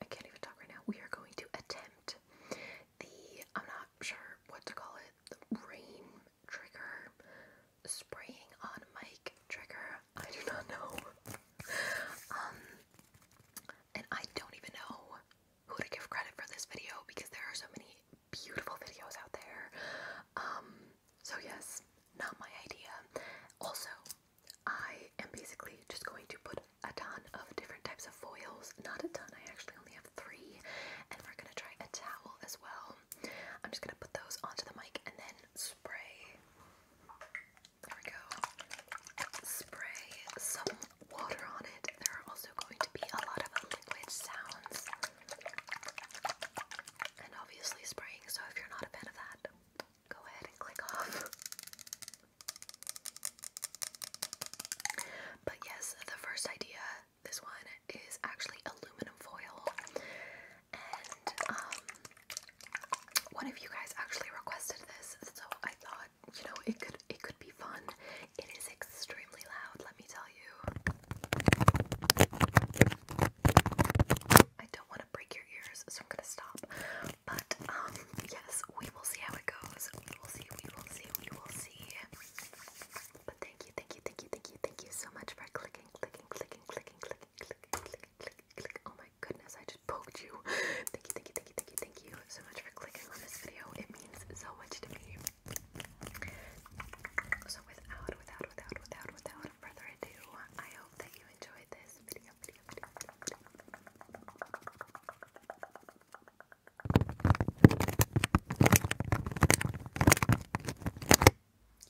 I can't even talk right now. We are going to attempt the, I'm not sure what to call it, the rain trigger, spraying on mic trigger. I do not know. um, and I don't even know who to give credit for this video because there are so many beautiful videos out there. Um, so yes, not my idea. Also, I am basically just going to put a ton of different types of foils. Not a ton, I actually only have three. And we're gonna try a towel as well. I'm just gonna put those onto the mic and then spray. There we go. Spray some water on it. There are also going to be a lot of liquid sounds. And obviously spraying, so if you're not a fan of that, Go ahead and click off. But yes, the first idea, this one, is actually aluminum foil. And um one of you guys actually requested this, so I thought, you know, it could it could be fun. It is extremely loud, let me tell you. I don't want to break your ears, so I'm gonna stop. But um, yes, we will see how it goes. We will see, we will see, we will see. But thank you, thank you, thank you, thank you, thank you so much for clicking, clicking, clicking, clicking, clicking, clicking, clicking, clicking, clicking. Oh my goodness, I just poked you. Thank you, thank you, thank you, thank you, thank you so much for clicking on this video. It means so much to me. So without, without, without, without, without further ado, I hope that you enjoyed this video. You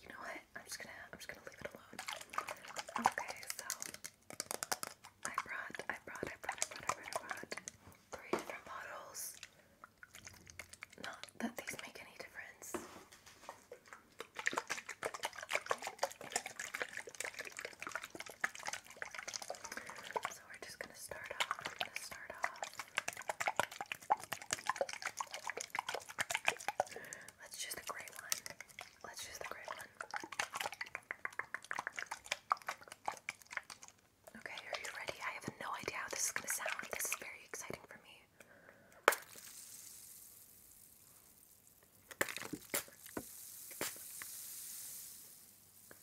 know what? I'm just gonna I'm just gonna leave it alone. Okay, so I brought I brought I brought I brought I brought, three different bottles. Not that these make any difference. So we're just gonna start off. Let's choose the gray one. Let's choose the gray one. Okay, are you ready? I have no idea how this is gonna sound. This is very exciting for me.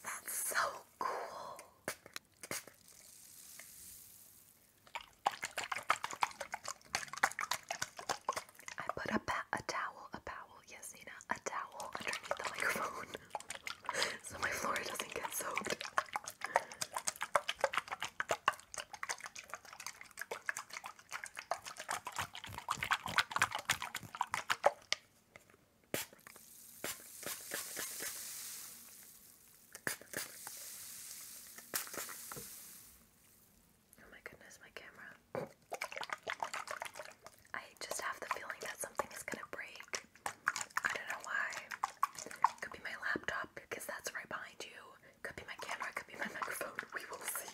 That's so cool. I put a, towel, a towel, yes, Nina, a towel underneath the microphone so my floor doesn't get soaked. Oh my goodness, my camera. I just have the feeling that something is gonna break. I don't know why. Could be my laptop because that's right behind you. Could be my camera, could be my microphone. We will see.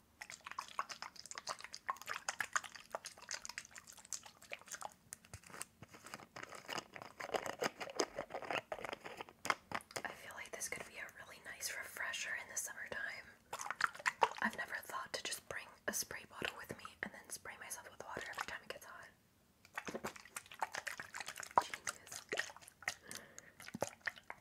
I feel like this could be a really nice refresher in the summertime. I've never thought to just bring a spray bottle with me and then spray myself with water every time it gets hot. Jesus.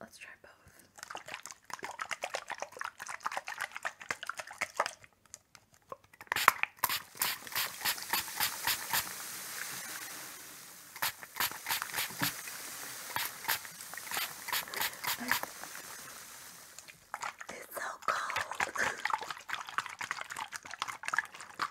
Let's try both. It's so cold.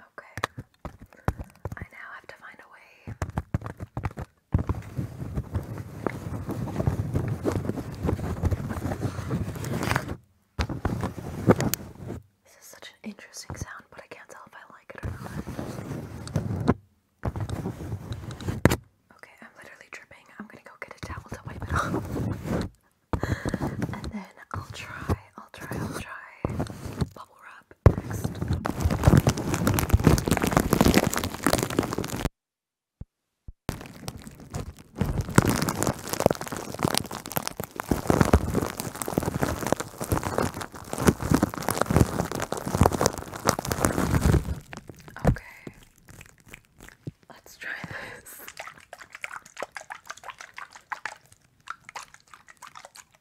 Okay. I now have to find a way. This is such an interesting sound, but I can't tell if I like it or not. Okay, I'm literally dripping. I'm gonna go get a towel to wipe it off. and then I'll try, I'll try, I'll try bubble wrap next. Okay, let's try this.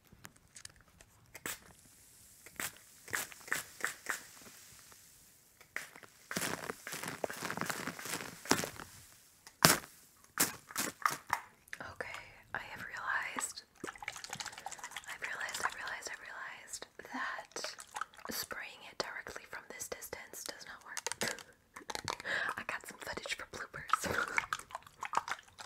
Okay, I have realized, I've realized, I've realized, i realized that spraying it directly from this distance does not work. I got some footage for bloopers.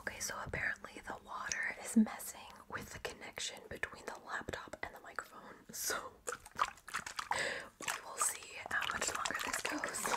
Okay, so apparently the water is messing with the connection between the laptop and the microphone. So we will see how much longer this goes.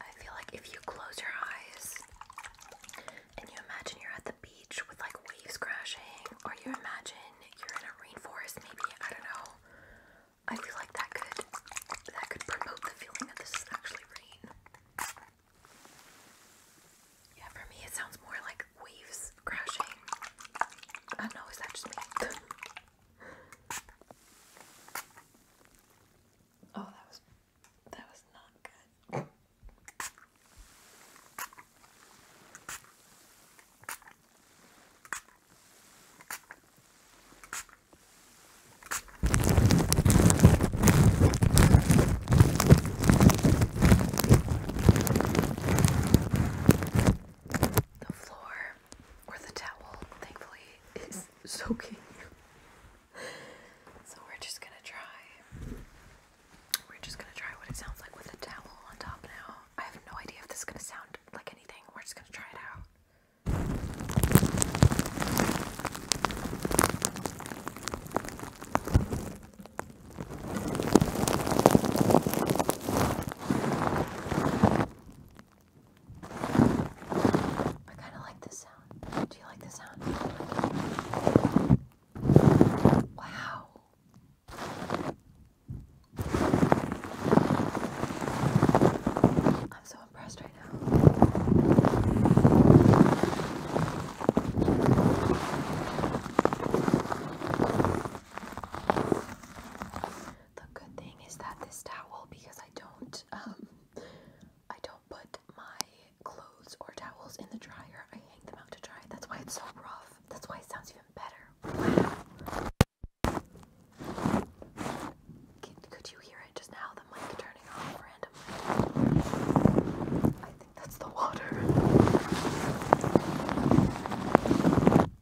I feel like if you close your eyes and you imagine you're at the beach with like waves crashing, or you imagine you're in a rainforest, maybe, I don't know. I feel like that could that could promote the feeling that this is actually rain. Yeah, for me it sounds more like waves crashing. I don't know, is that just me? Oh, that was that was not good. The floor water or the towel, thankfully, is soaking. so we're just gonna try. We're just gonna try what it sounds like with a towel on top now. I have no idea if this is gonna sound like anything. We're just gonna try it out. I kind of like this sound. Do you like this sound? Wow. I'm so impressed right now. The good thing is that this towel, because I don't, um, I don't put my clothes or towels in the dryer. I hang them out to dry. That's why it's so rough. That's why it sounds even better. Wow. Could, you hear it just now? The mic turning off randomly. I think that's the water.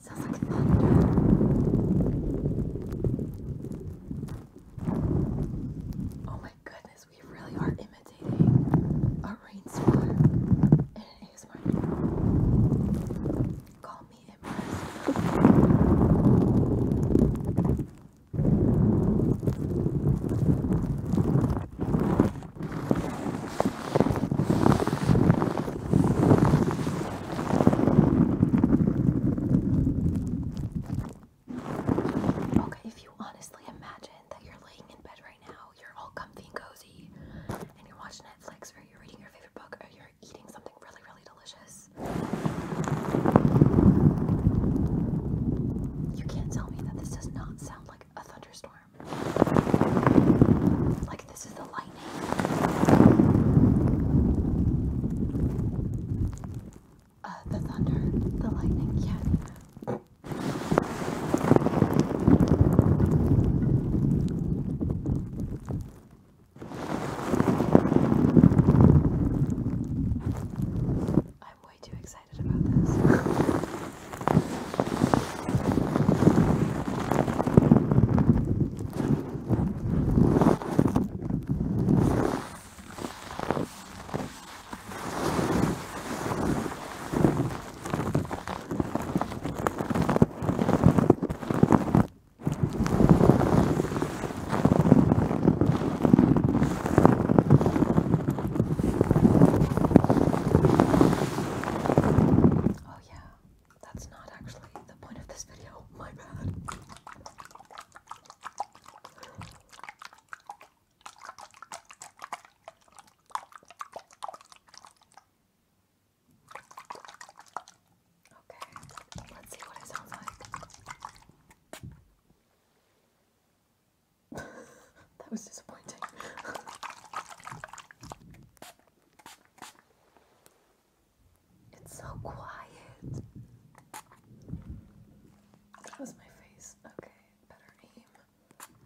Sounds like thunder. Oh my goodness, we really are imitating a rain spot Call me impressed. Okay, if you honestly imagine that you're laying in bed right you're all comfy and cozy, and you're watching Netflix, or you're reading your favorite book, or you're eating something really, really delicious. You can't tell me that this does not sound like a thunderstorm. Like, this is the lightning. Uh, the thunder, the lightning, yeah. I'm way too excited about this. Oh, yeah, that's not actually the point of this video. My bad. Okay, let's see what it sounds like. that was disappointing. it's so quiet. That was my face. Okay, better aim.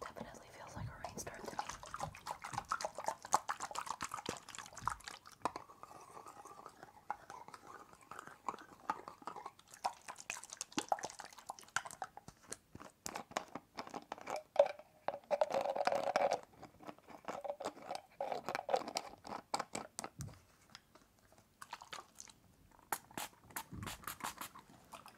Definitely feels like a rainstorm to me.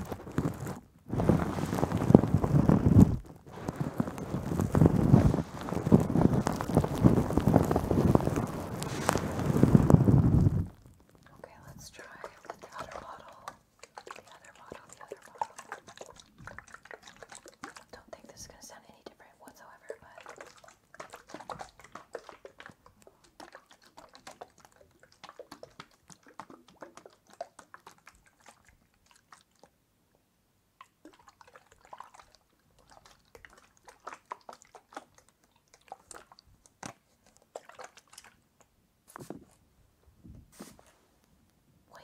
Okay, let's try the other bottle. The other bottle, the other bottle. Don't think this is going to sound any different whatsoever, but. Wait,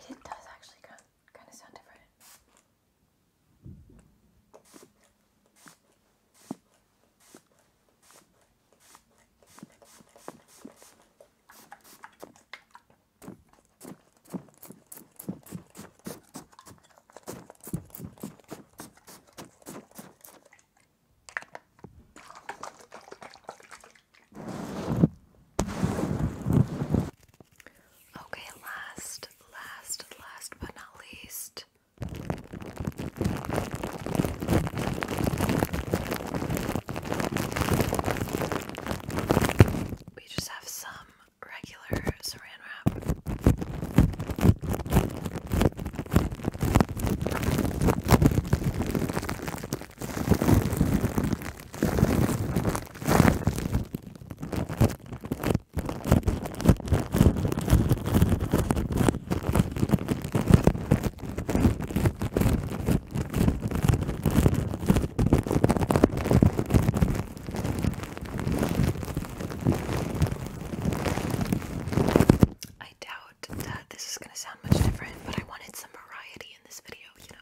it does actually kind kind of sound different. Okay, last, last, last but not least, we just have some regular saran wrap. I doubt that this is going to sound much different, but I wanted some variety in this video, you know.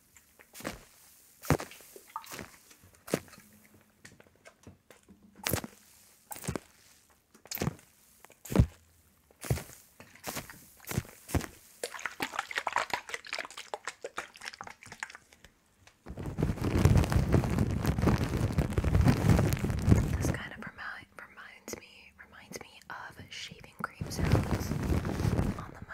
This kind of remi reminds me reminds me of shaving cream sounds on the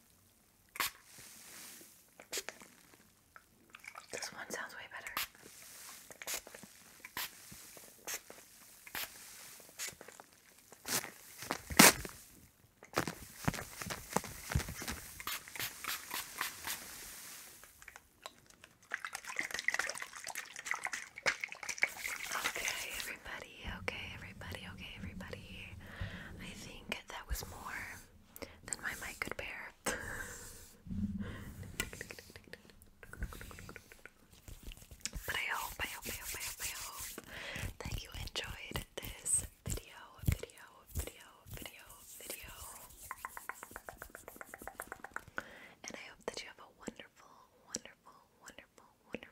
This one sounds way better. Okay, everybody, okay, everybody, okay, everybody. I think that was more than my mic could bear. but I hope, I hope, I hope, I hope, I hope that you enjoyed this video, video, video, video, video. And I hope that you have a wonderful, wonderful, wonderful, wonderful